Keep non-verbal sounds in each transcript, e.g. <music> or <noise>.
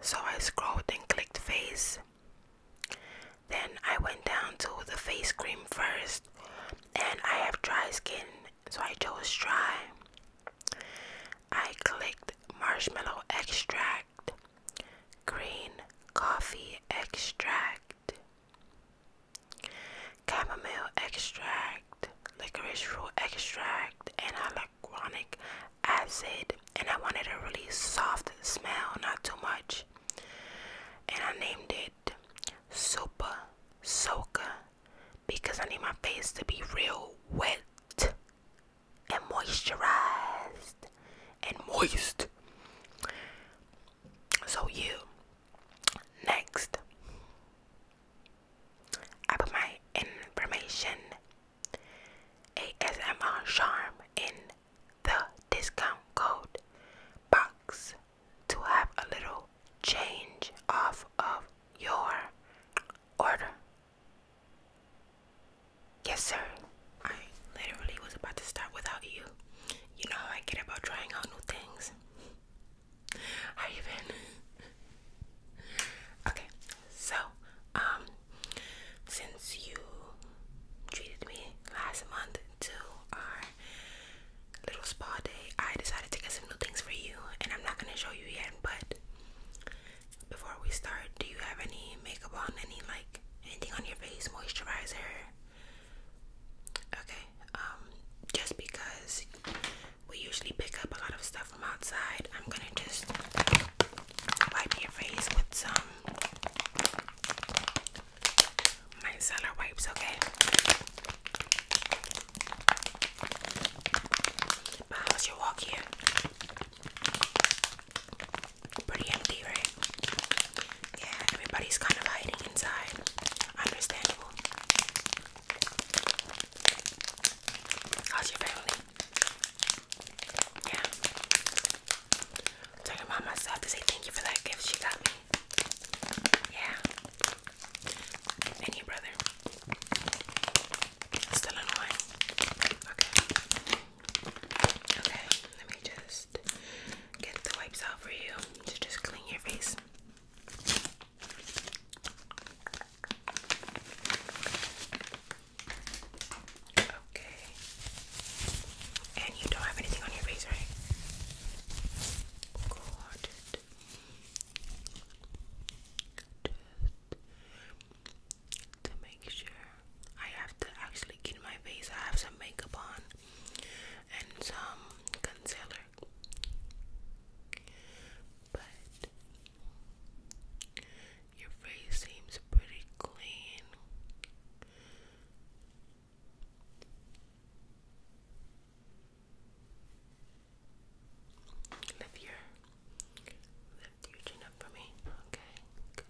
So I scrolled and clicked face. Then I went down to the face cream first, and I have dry skin, so I chose dry. I clicked marshmallow extract, green coffee extract, chamomile extract, licorice root extract, and hyaluronic acid and I wanted a really soft smell, not too much. And I named it Super Soca because I need my face to be real wet and moisturized and moist. So, you next, I put my information ASMR charm in the discount code box to have a little change off of your order. Yes, sir. I literally was about to start without you. You know how I get about trying out new things. I even. <laughs> okay, so, um, since you treated me last month to our little spa day, I decided to get some new things for you, and I'm not gonna show you yet. But before we start, do you have any makeup on? Any like anything on your face? Moisturizer? Okay. Um, just because we usually pick up a lot of stuff from outside, I'm gonna just wipe your face with some micellar wipes, okay? But how's your walk Pretty empty, right? Yeah, everybody's kind of hiding inside. Understandable. How's your family? Yeah. Tell your myself to say thank you for that gift she got me. Yeah. And brother. Still annoying. Okay. Okay, let me just get the wipes out for you to just clean your face. Okay. And you don't have anything on your face, right? Good. Just to make sure. I have to actually get my face. I have some makeup on and some concealer. But your face seems pretty clean. Lift your chin up for me. Okay, good.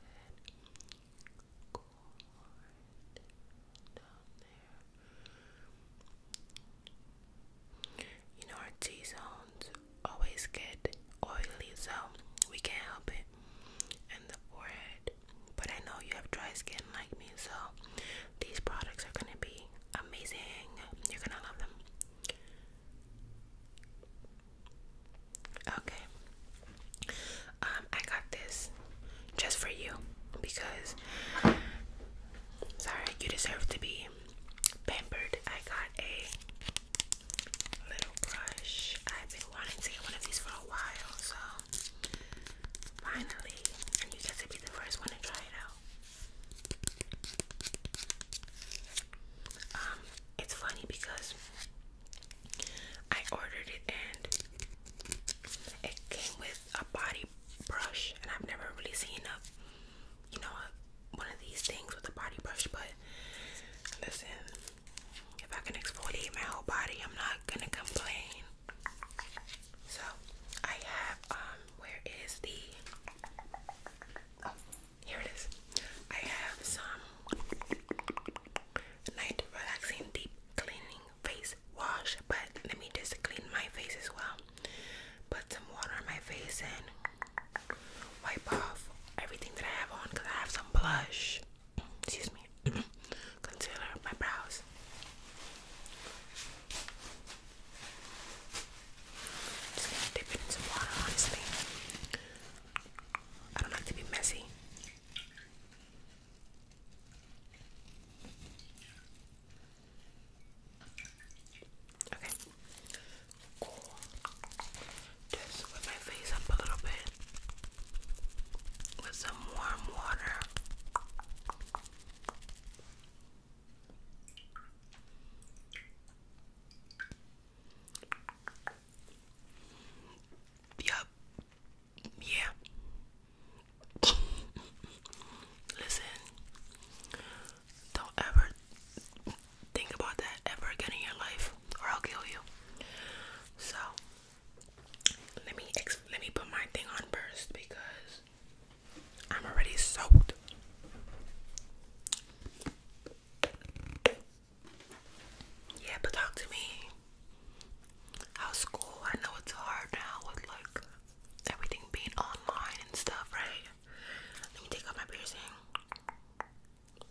You know our T zones always get oily, so we can't help it. And the forehead, but I know you have dry skin like me, so these products are gonna be amazing. You're gonna love them. Okay. Um, I got this just for you because sorry, you deserve to be pampered. I got a little brush. I've been wanting to get one of these for a while, so finally, and you guys will be the first one to try it out. Um, it's funny because I ordered it and it came with a body brush, and I've never really seen a, you know, a one of these things with a body brush, but listen, if I can exfoliate my whole body, I'm not gonna complain. So I have um where is the oh, here it is. I have some night relaxing deep cleaning face wash, but let me just clean my face as well. Put some water on my face and wipe off everything that I have on I have some blush. Excuse me. <clears throat> Concealer, my brows. dip it in some water, honestly. I don't like to be messy. Okay. Just with my face up a little bit with some warm water. Yup. Yeah. <laughs> Listen, don't ever think about that ever again in your life, or I'll kill you. So let me let me put my thing on first because I'm already soaked. Yeah, but talk to me. How's school? I know it's hard now with like everything being online and stuff, right? Let me take out my piercing.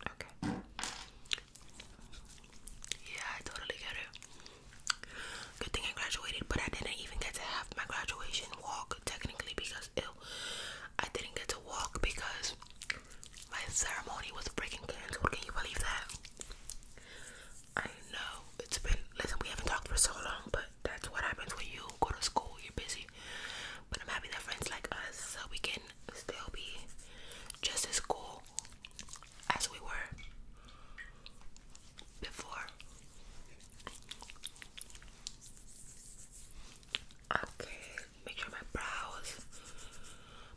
Okay. Yeah, I totally get it. Good thing I graduated, but I didn't even get to have my graduation walk technically because ew, I didn't get to walk because my ceremony was freaking canceled. Can you believe that? I know it's been listen, we haven't talked for so long, but that's what happens when you go to school, you're busy. But I'm happy that friends like us so we can still be just as cool as we were before. Okay, make sure my brows,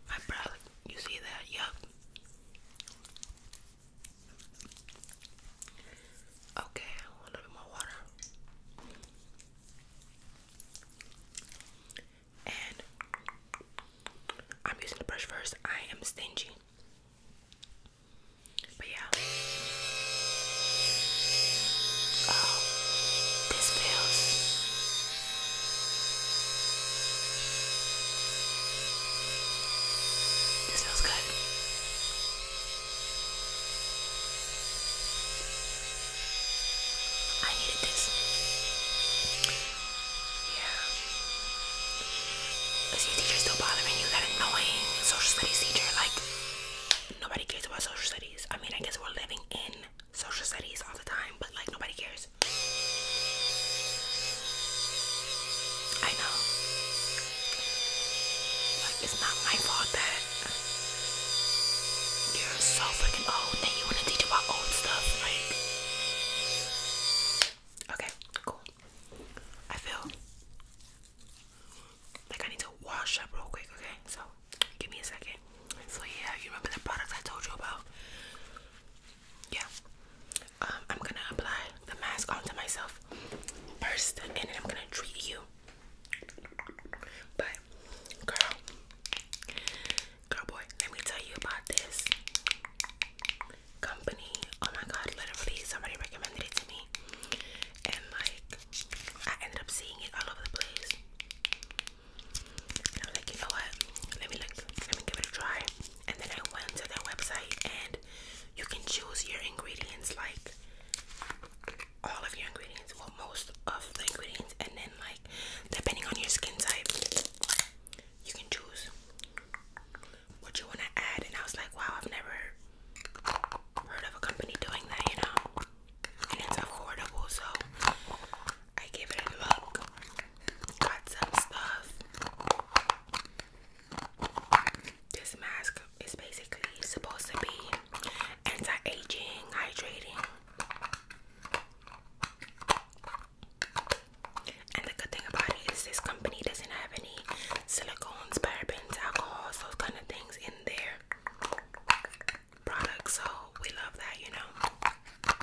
my brows, you see that? Yup. Okay, a little bit more water and I'm using the brush first. I am stingy. But yeah. Oh, this feels This feels good. I needed this. Yeah. The teacher's still bothering you, that annoying social studies teacher. Like, nobody cares about social studies. I mean, I guess we're living in social studies all the time, but like, nobody cares. I know. Like, it's not my fault you're so freaking old that you want to teach about old stuff. Like, okay, cool. I feel like I need to wash up real quick, okay? So, give me a second. So, yeah, you remember the products I told you about? Yeah. Um, I'm gonna apply the mask onto myself first, and then I'm gonna treat you. But, girl, Girl, boy, let me tell you about this company. Oh my god, literally, somebody recommended it to me, and like, I ended up seeing it all over the place. I was like, you know what? Let me look, let me give it a try. And then I went to their website, and you can choose your ingredients like all of your ingredients, well, most of the ingredients, and then, like, depending on your skin type, you can choose what you want to add. And I was like, wow, I've never heard of a company doing that, you know, and it's affordable, so I gave it a look. Got some stuff. This mask is basically supposed to be anti-aging, hydrating. And the good thing about it is this company doesn't have any silicones, parabens, alcohols, those kind of things in their products. So we love that, you know.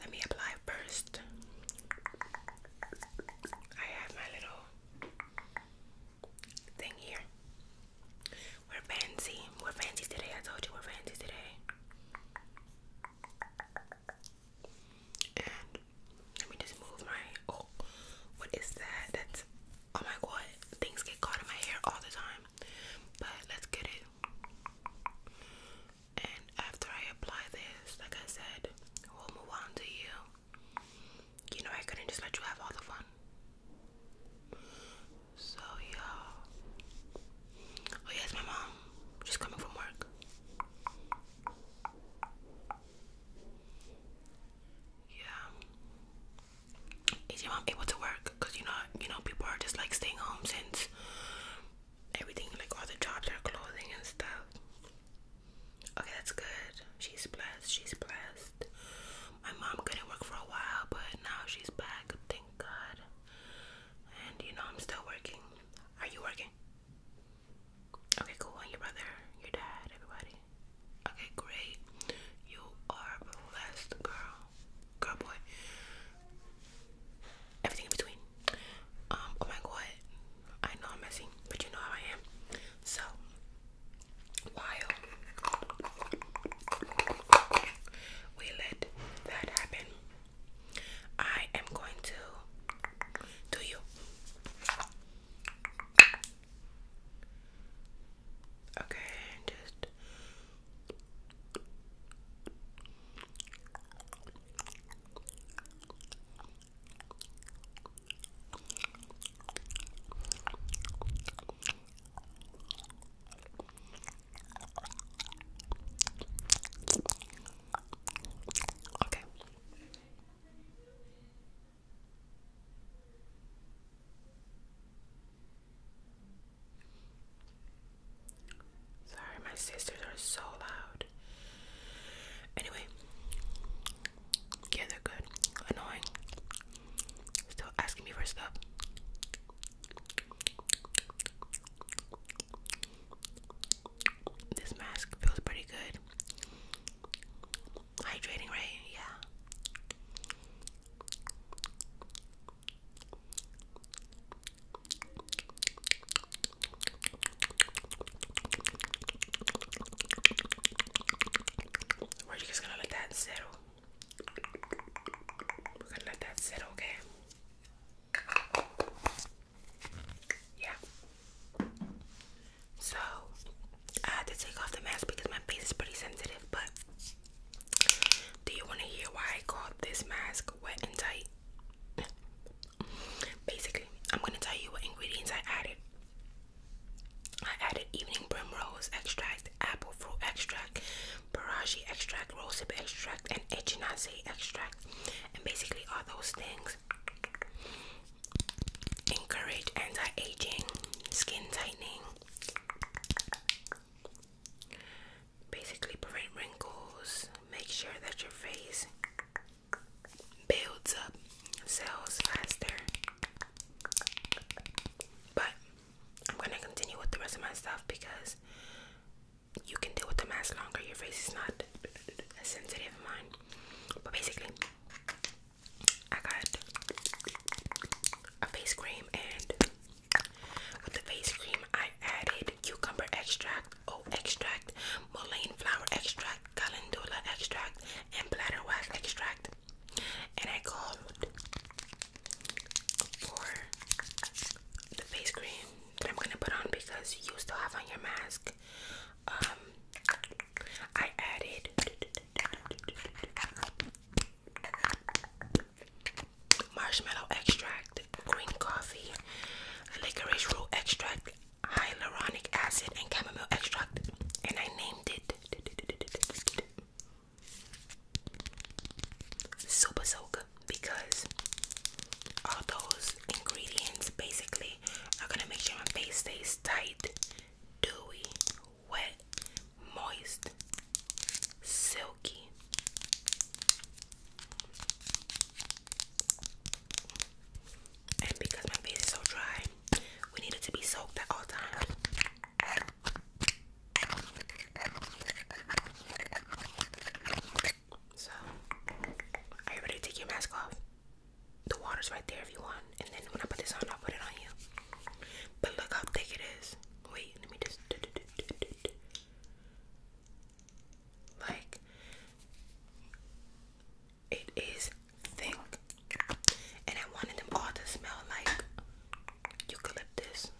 Let me apply first. I have my little thing here. We're fancy. We're fancy today. I told you we're fancy today. let me just move my. Oh, what is that? That's. Oh my god. Things get caught in my hair all the time. But let's get it. And after I apply this, like I said, we'll move on to you. You know, I couldn't just let you have all the fun. So yeah. Oh yes, my mom. She's coming from work. Yeah. Is your mom able to work? Cause you know, you know, people are just like staying home since everything, like all the jobs are closing and stuff. Okay, that's good. She's blessed. She's blessed. My mom couldn't work for a while, but now she's back. Thank God. And you know I'm still working. Are you working? Okay, cool. And your brother, your dad, everybody. Okay, great. You are blessed, girl. Girl, boy. Everything in between. Um, oh my god. I know I'm messy, but you know how I am. So, while we let that happen. I am going to do you. Okay, just Okay. Sorry, my sisters are so loud. Anyway, yeah, they're good. Annoying. Still asking me for stuff. This mask feels pretty good. Hydrating, right? Yeah. We're just gonna let that settle. We're gonna let that sit, okay? Yeah. So I had to take off the mask because my face is pretty sensitive, but do you wanna hear why I called this mask wet and tight? Basically, I'm gonna tell you what ingredients I added. I added evening primrose extract, apple fruit extract, extract, extract, Rosehip extract, and Echinacea extract. And basically, all those things encourage anti-aging, skin tightening, basically prevent wrinkles, make sure that your face builds up cells faster. But I'm gonna continue with the rest of my stuff because you can deal with the mask longer. Your face is not as sensitive as mine. But basically, I got a face cream, and with the face cream, I added cucumber extract, oat extract, mullein flower extract, calendula extract, and bladder wax extract. And I called for the face cream that I'm gonna put on because you still have on your mask. Um, I added marshmallow extract, green coffee, licorice root extract, hyaluronic acid, and chamomile extract, and I named it super soak because all those ingredients basically are gonna make sure my face stays tight, dewy, wet, moist, silky. And because my face is so dry, we need it to be soaked at all times. So, are you ready to take your mask off? The water's right there if you want. And then when I put this on, I'll put it on you. But look how thick it is. Wait, let me just. Like, it is thick. And I wanted them all to smell like eucalyptus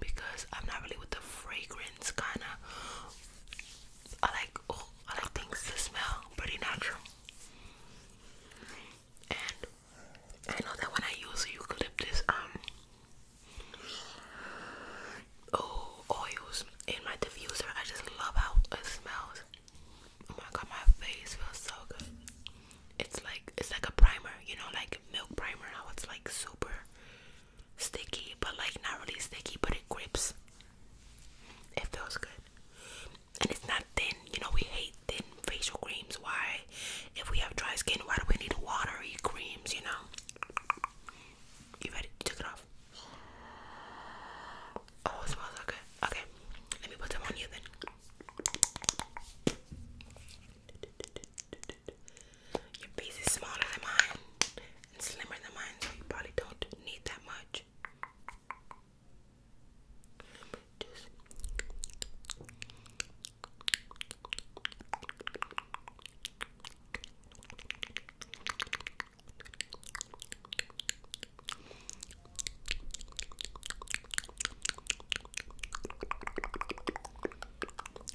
because I'm not really with the fragrance kind of. I like oh, I like things to smell pretty natural. And I know that when I use eucalyptus um oh oils in my diffuser, I just love how it smells. Oh my god, my face feels so good. It's like it's like a primer, you know, like milk primer. How it's like super sticky, but like not really sticky, but it grips. It feels good. And it's not thin. You know, we hate thin facial creams. Why? If we have dry skin, why do we need watery creams, you know? You ready? took it off. Oh, smells so good. Okay. Let me put them on you then. Your piece is smaller than mine and slimmer than mine, so you probably don't need that much.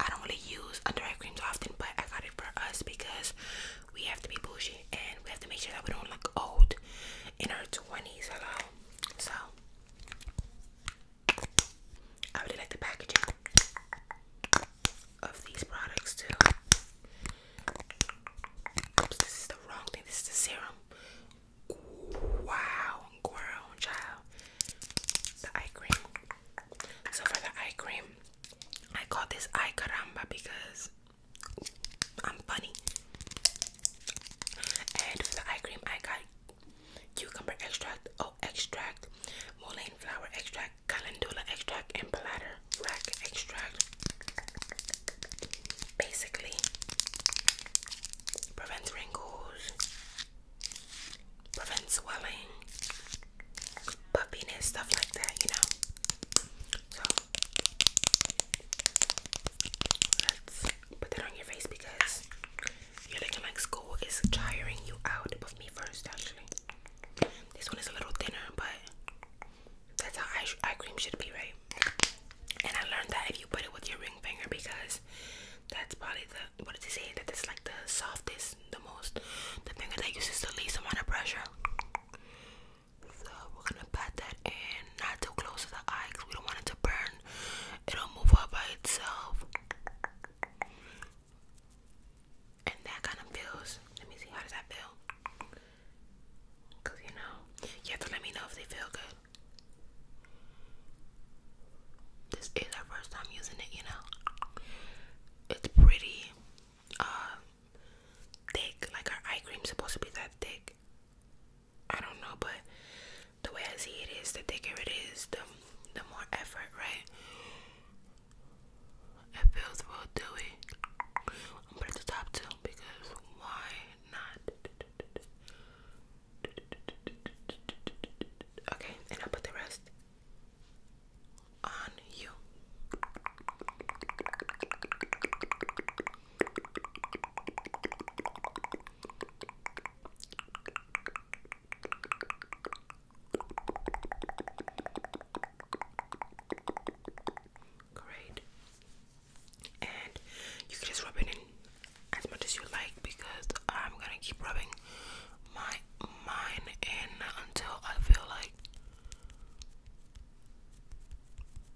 I don't really use under eye creams often, but I got it for us because we have to be bougie and we have to make sure that we don't look old in our 20s. Hello, so I really like the packaging of these products too. this is the wrong thing. This is the serum. Wow, girl, child. The eye cream. So for the eye cream, I call this eye caramba because I'm funny. And for the eye cream, I got cucumber extract, oh extract, mullein flower extract, calendula extract, and bladder rack extract. Basically, prevents wrinkles, prevents swelling, puppiness, stuff like that, you know. So let's put that on your face because you're looking like school is tiring you out. But me first, actually. This one is a little thinner, but that's how eye, eye cream should be, right? And I learned that if you put it with your ring finger, because that's probably the what did they say that it's like the softest the most the finger that uses the least amount of pressure so we're gonna pat that in not too close to the eye because we don't want it to burn it'll move up by itself and that kind of feels let me see how does that feel because you know you have to let me know if they feel good this is our first time using it, you know. It's pretty uh, thick. Like our eye cream's supposed to be that thick. I don't know, but the way I see it is, the thicker it is, the the more effort, right? It feels real dewy. I'm going the top two because why not? Okay, and I'll put the rest on you. Great. And you can just rub it in as much as you like because I'm gonna keep rubbing my mine in until I feel like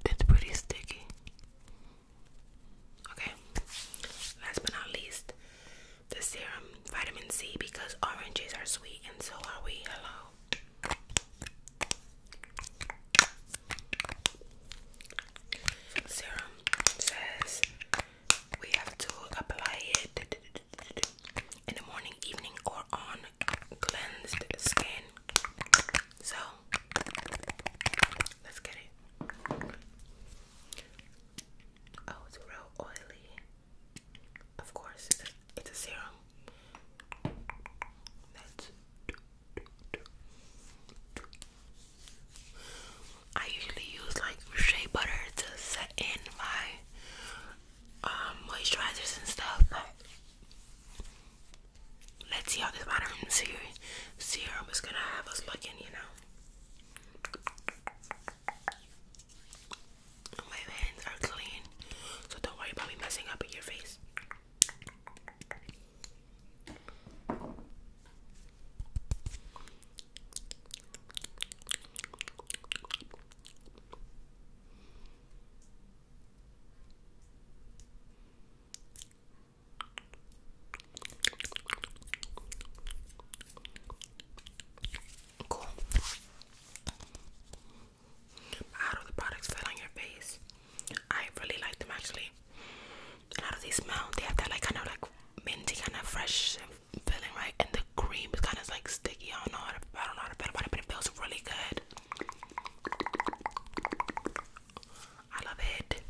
it's pretty sticky. Okay. Last but not least, the serum vitamin C because oranges are sweet and so are we. Hello. Serum says we have to apply it in the morning, evening, or on cleansed skin. So let's get it. Oh, it's real oily. Of course, it's a, serum. let I usually use like shea butter to set in my um, moisturizers and stuff, but let's see how this modern serum, serum is gonna have us looking, you know. My hands are clean, so don't worry about me messing up in your face. Cool. How do the products fit on your face? I really like them actually. And how do smell? They have that like kind of like minty kind of fresh feeling, right? the cream is kind of like sticky. I don't know how to, I don't know how to feel about it, but it feels really good. I love it.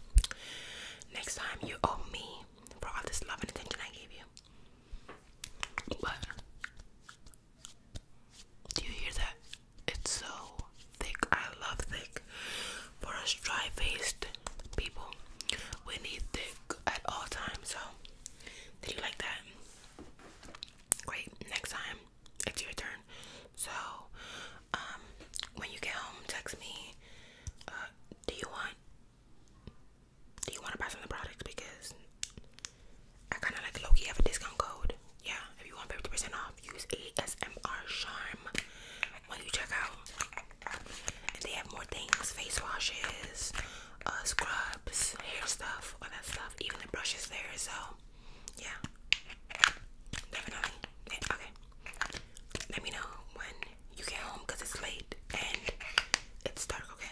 Next time you owe me for all this love and attention I gave you. But do you hear that? It's so thick. I love thick. For us dry faced people, we need thick at all times. So, did you like that? Great. Next time, it's your turn. So, um, when you get home, text me. Uh, do you want? Do you want to buy some of the products? Because I kind of like Loki have a discount code. Yeah, if you want fifty percent off, use ASMR Charm when you check out. And they have more things: face washes, uh, scrubs, hair stuff, all that stuff. Even the brushes there. So yeah, definitely. Yeah, okay. Let me know when you get home because it's late and it's dark. Okay.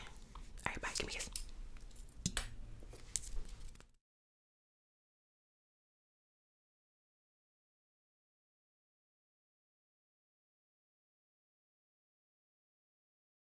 All right. Bye. Give me a kiss.